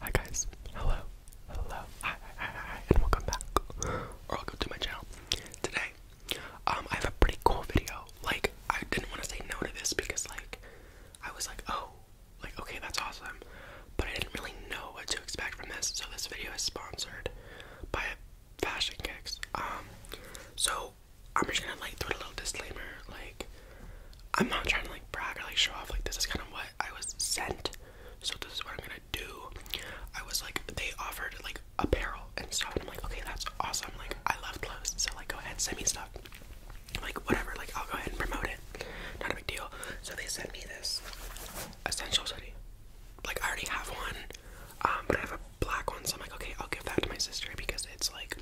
Hi guys, hello, hello, hi, hi, hi, and welcome back, welcome to my channel. Today, um, I have a pretty cool video. Like, I didn't want to say no to this because, like, I was like, oh, like, okay, that's awesome, but I didn't really know what to expect from this. So this video is sponsored by Fashion Kicks. Um, so I'm just gonna like throw a little disclaimer. Like I'm not trying to like brag or like show off. Like this is kind of what I was sent. So this is what I'm gonna do. I was like they offered like apparel and stuff. And I'm like okay that's awesome. Like I love clothes. So like go ahead send me stuff. Like whatever. Like I'll go ahead and promote it. Not a big deal. So they sent me this essential city. Like I already have one. Um, but I have black ones. I'm like, okay, I'll give that to my sister because it's like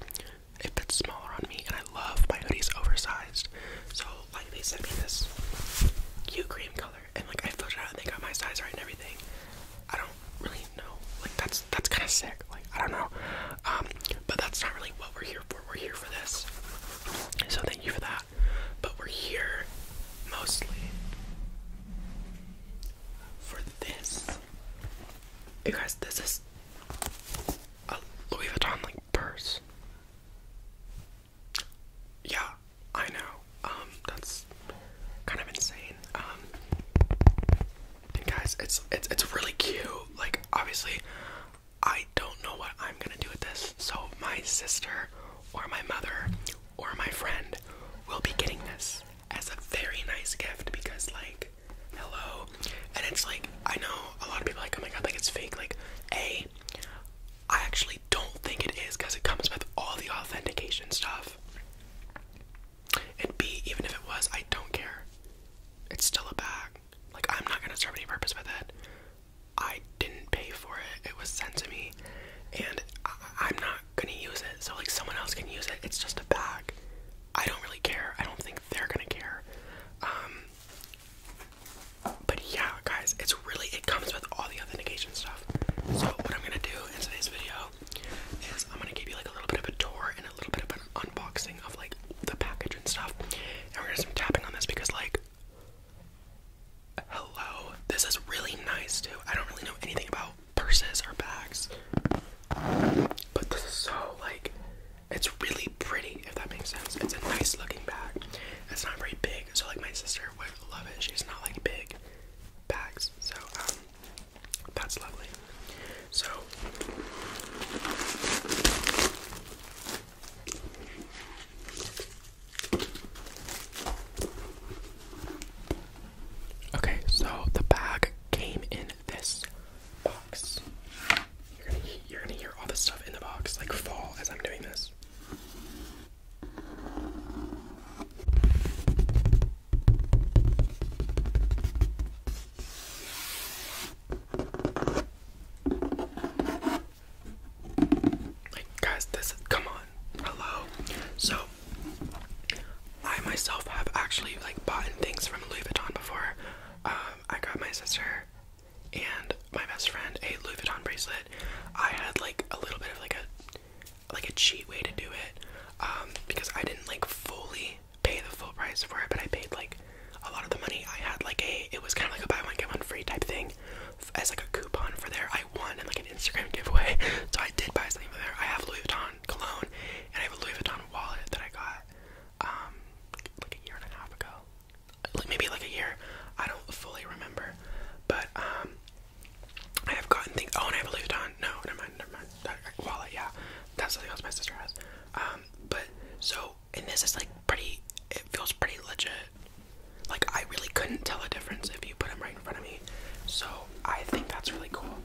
it fits smaller on me, and I love my hoodies oversized. So like they sent me this cute cream color, and like I filled it out, and they got my size right and everything. I don't really know. Like that's that's kind of sick. Like I don't know. Um, but that's not really what we're here for. We're here for this. So thank you for that. But we're here mostly for this. You guys, this is a Louis Vuitton like purse. Yeah, I know. Um, that's kind of insane. Um, guys, it's it's it's really cute. Like, obviously, I don't know what I'm gonna do with this. So my sister or my mother or my friend will be getting this as a very nice gift because like hello and it's like I know a lot of people like oh my god like it's fake like a I actually don't think it is because it comes with all the authentication stuff and B even if it was I don't care it's still a bag like I'm not gonna serve any purpose with it I didn't pay for it it was sent to me and I I'm not going use it, so like someone else can use it. It's just a bag. I don't really care. I don't think they're gonna care. Um, but yeah, guys, it's really it comes with all the authentication stuff. So what I'm gonna do in today's video is I'm gonna give you like a little bit of a tour and a little bit of an unboxing of like the package and stuff. And we're gonna some tapping on this because like hello, this is really nice too. I don't really know anything about purses or bags. But this is so like it's really pretty if that makes sense. It's a nice looking bag. It's not very big, so like my sister would love it. She's not like big bags, so um that's lovely. So Okay, so the bag came in this box. You're gonna, hear all this stuff in the box, like fall as I'm doing this. guys, this come on. Hello. So, I myself have actually like bought things from Louis Vuitton before. Um, I got my sister and my best friend a Louis Vuitton bracelet. I had like a little bit of like a like a cheat way to do it um, because I didn't like fully pay the full price for it, but I paid like a lot of the money. I had like a it was kind of like a buy one get one free type thing as like a coupon for there. I won in like an Instagram giveaway, so I did buy something from there. I have Louis Vuitton cologne, and I have a Louis Vuitton wallet that I got um like a year and a half ago, maybe like a year. I don't fully remember, but um, I have gotten things. Oh, and I have a Louis Vuitton. No, never mind, never mind. Uh, wallet, yeah, that's something else my sister has. Um, but so and this is like pretty. It feels pretty legit. Like, I really couldn't tell a difference if you put them right in front of me. So, I think that's really cool.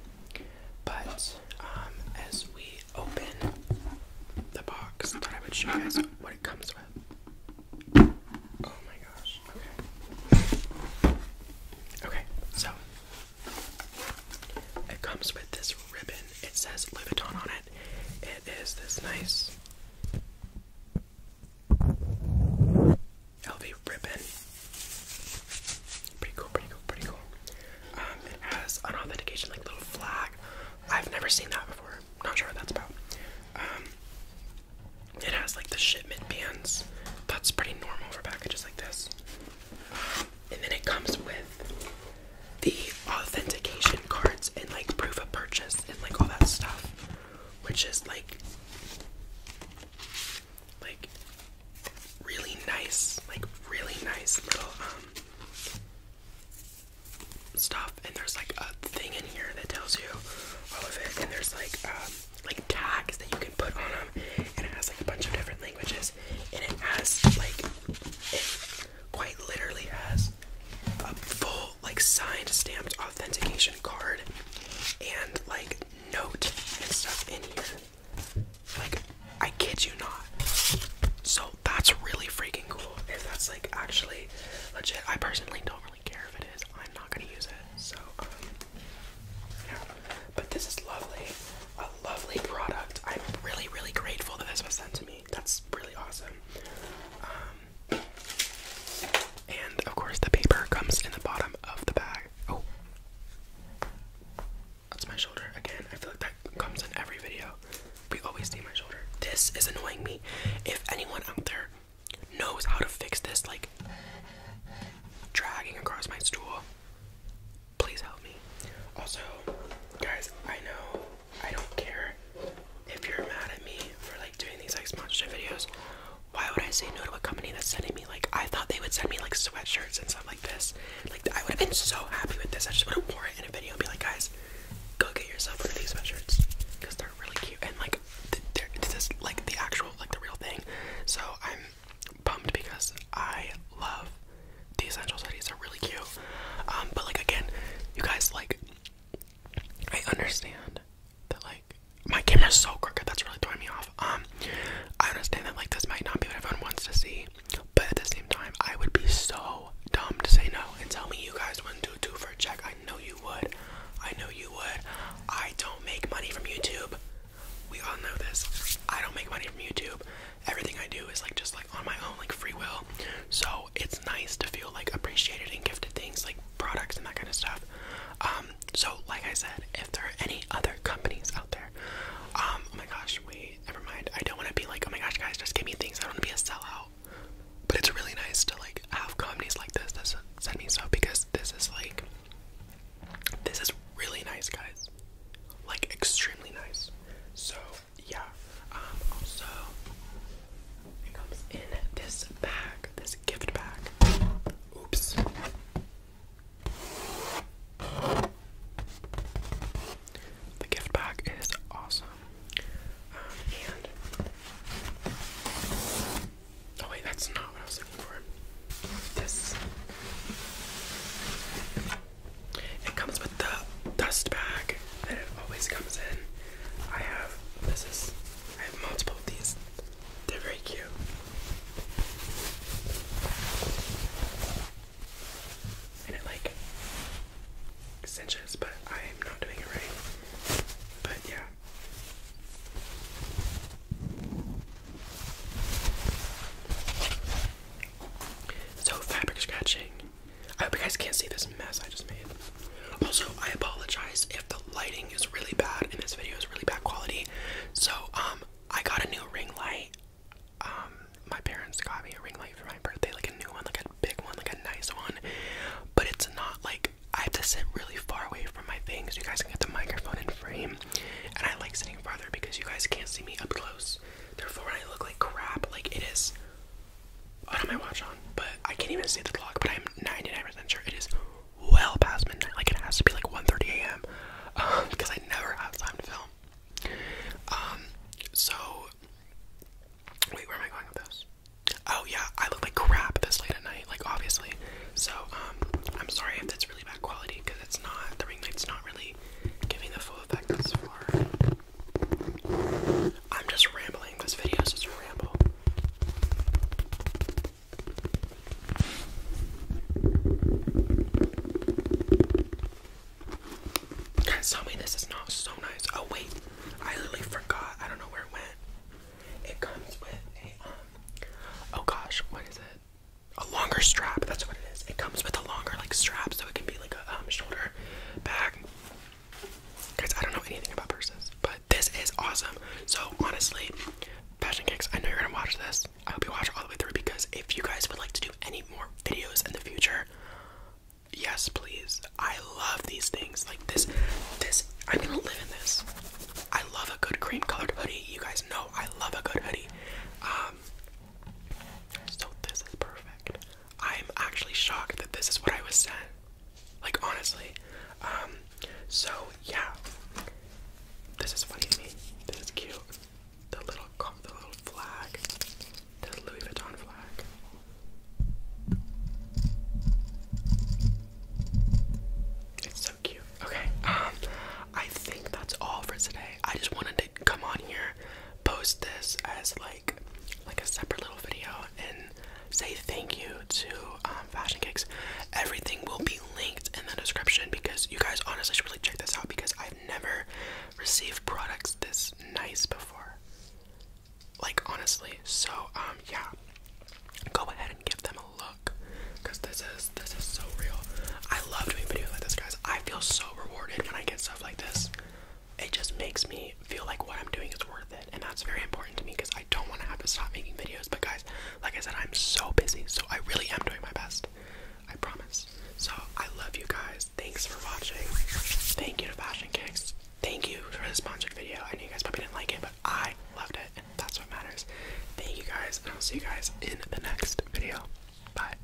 But, um, as we open the box, I thought I would show you guys what it comes with. Oh my gosh. Okay. Okay, so it comes with this ribbon. It says Louis Vuitton on it. It is this nice LV ribbon. Pretty cool, pretty cool, pretty cool. Um, it has authentication like little flag. I've never seen that before. Not sure what that's about. Um, it has like the shipment bands. That's pretty normal for packages like this. Um, and then it comes with the authentication cards and like proof of purchase and like all that stuff, which is like like really nice, like really nice little um, stuff. And there's like a thing in here that tells you all of it. And there's like um, like tags that you can put on them, and it has like a bunch of different languages. And it has like quite literally has a full like signed stamped authentication card and like note and stuff in here. Like I kid you not. So that's really freaking cool. If that's like actually legit, I personally don't really care if it is. I'm not gonna use it. So um, yeah. But this is lovely. A lovely product. I'm really, really grateful that this was sent to me. That's really awesome. Um, and of course, the paper comes in the bottom of the bag. Oh, that's my shoulder again. I feel like that comes in every video. We always see my shoulder. This is annoying me. If anyone out there knows how to fix this, like dragging across my stool, please help me. Also, guys, I know I don't care if you're mad at me for like doing these like sponsorship videos, why would I say no to a company that's sending me like I thought they would send me like sweatshirts and stuff like this. Like I would have been so happy with this. I just would have worn it in a video and be like, guys, go get yourself one of these sweatshirts because they're really cute and like th this is like the actual like the real thing. So I'm bummed because I love the essential hoodies. They're really cute. Um, but like again, you guys like I understand that like my camera's so crooked that's really throwing me off. Um, I understand that like this might not be what everyone wants to see, but at the same time, I would be so dumb to say no and tell me you guys wouldn't do two for a check. I know you would. I know you would. I don't make money from YouTube. We all know this. I don't make money from YouTube. Everything I do is like just like on my own, like free will. So it's nice to feel like appreciated and gifted things like products and that kind of stuff. Um, so like I said, if there are any other companies out there, um, oh my gosh, wait, never mind. I don't want to be like, oh my gosh, guys, just give me things. I don't want to be a sellout. But it's really nice to like have companies like this this send me stuff because this is like, this is really nice, guys. Like extremely nice. So yeah. Um, also, it comes in this bag, this gift bag. Oops. The gift bag is awesome. Um, oh wait, that's not what I was looking for. This. It comes with the dust bag that it always comes in. I have this is I have multiple these. They're very cute. And it like cinches, but I am not doing it right. But yeah. So fabric scratching I hope you guys can't see this mess I just made. Also, I apologize if the lighting is really bad and this video is really bad quality. So, um, I got a new ring light. Um, my parents got me a ring light for my birthday, like a new one, like a big one, like a nice one. But it's not like I have to sit really far away from my things so you guys can get the microphone in frame. And I like sitting farther because you guys can't see me up close. Therefore, I look like crap. Like, it is I don't watch on, but I can't even see the clock, but I'm 99% sure it is well past midnight. Like, it has to be like 1.30 a.m. because um, I never have time to film. Um, so, wait, where am I going with this? Oh, yeah, I look like crap this late at night, like, obviously. So, um, I'm sorry if that's really bad quality, because it's not, the ring light's not really giving the full effect that's for I'm just rambling. This video is just ramble. Guys, tell me this is not so nice. Oh wait, I literally forgot. I don't know where it went. It comes with a um. Oh gosh, what is it? A longer strap. That's what it is. It comes with a longer like strap, so it can be like a um, shoulder bag. Guys, I don't know anything about purses, but this is awesome. So honestly, Fashion Kicks, I know you're gonna watch this. I hope you watch all the way through because if you guys would like to do any more videos in the future, yes please. I love these things. Like this this I'm gonna live in this. I love a good cream colored hoodie. You guys know I love a good hoodie. Um so this is perfect. I'm actually shocked that this is what I was sent. Like honestly. Um so yeah. This is funny to me. This is cute. The little the little flag. The Louis Vuitton flag. It's so cute. Okay, um, I think that's all for today. I just wanted to come on here, post this as like like a separate little video and say thank you to um, Fashion Kicks. Everything will be linked in the description because you guys honestly should really check this out because I've never received products this nice before. Like honestly, so um yeah, go ahead and give them a look because this is this is so real. I love doing videos like this, guys. I feel so rewarded when I get stuff like this it just makes me feel like what I'm doing is worth it, and that's very important to me because I don't want to have to stop making videos. But guys, like I said, I'm so busy, so I really am doing my best. I promise. So I love you guys. Thanks for watching. Thank you to Fashion Kicks. Thank you for this sponsored video. I know you guys probably didn't like it, but I loved it, and that's what matters. Thank you guys, and I'll see you guys in the next video. Bye.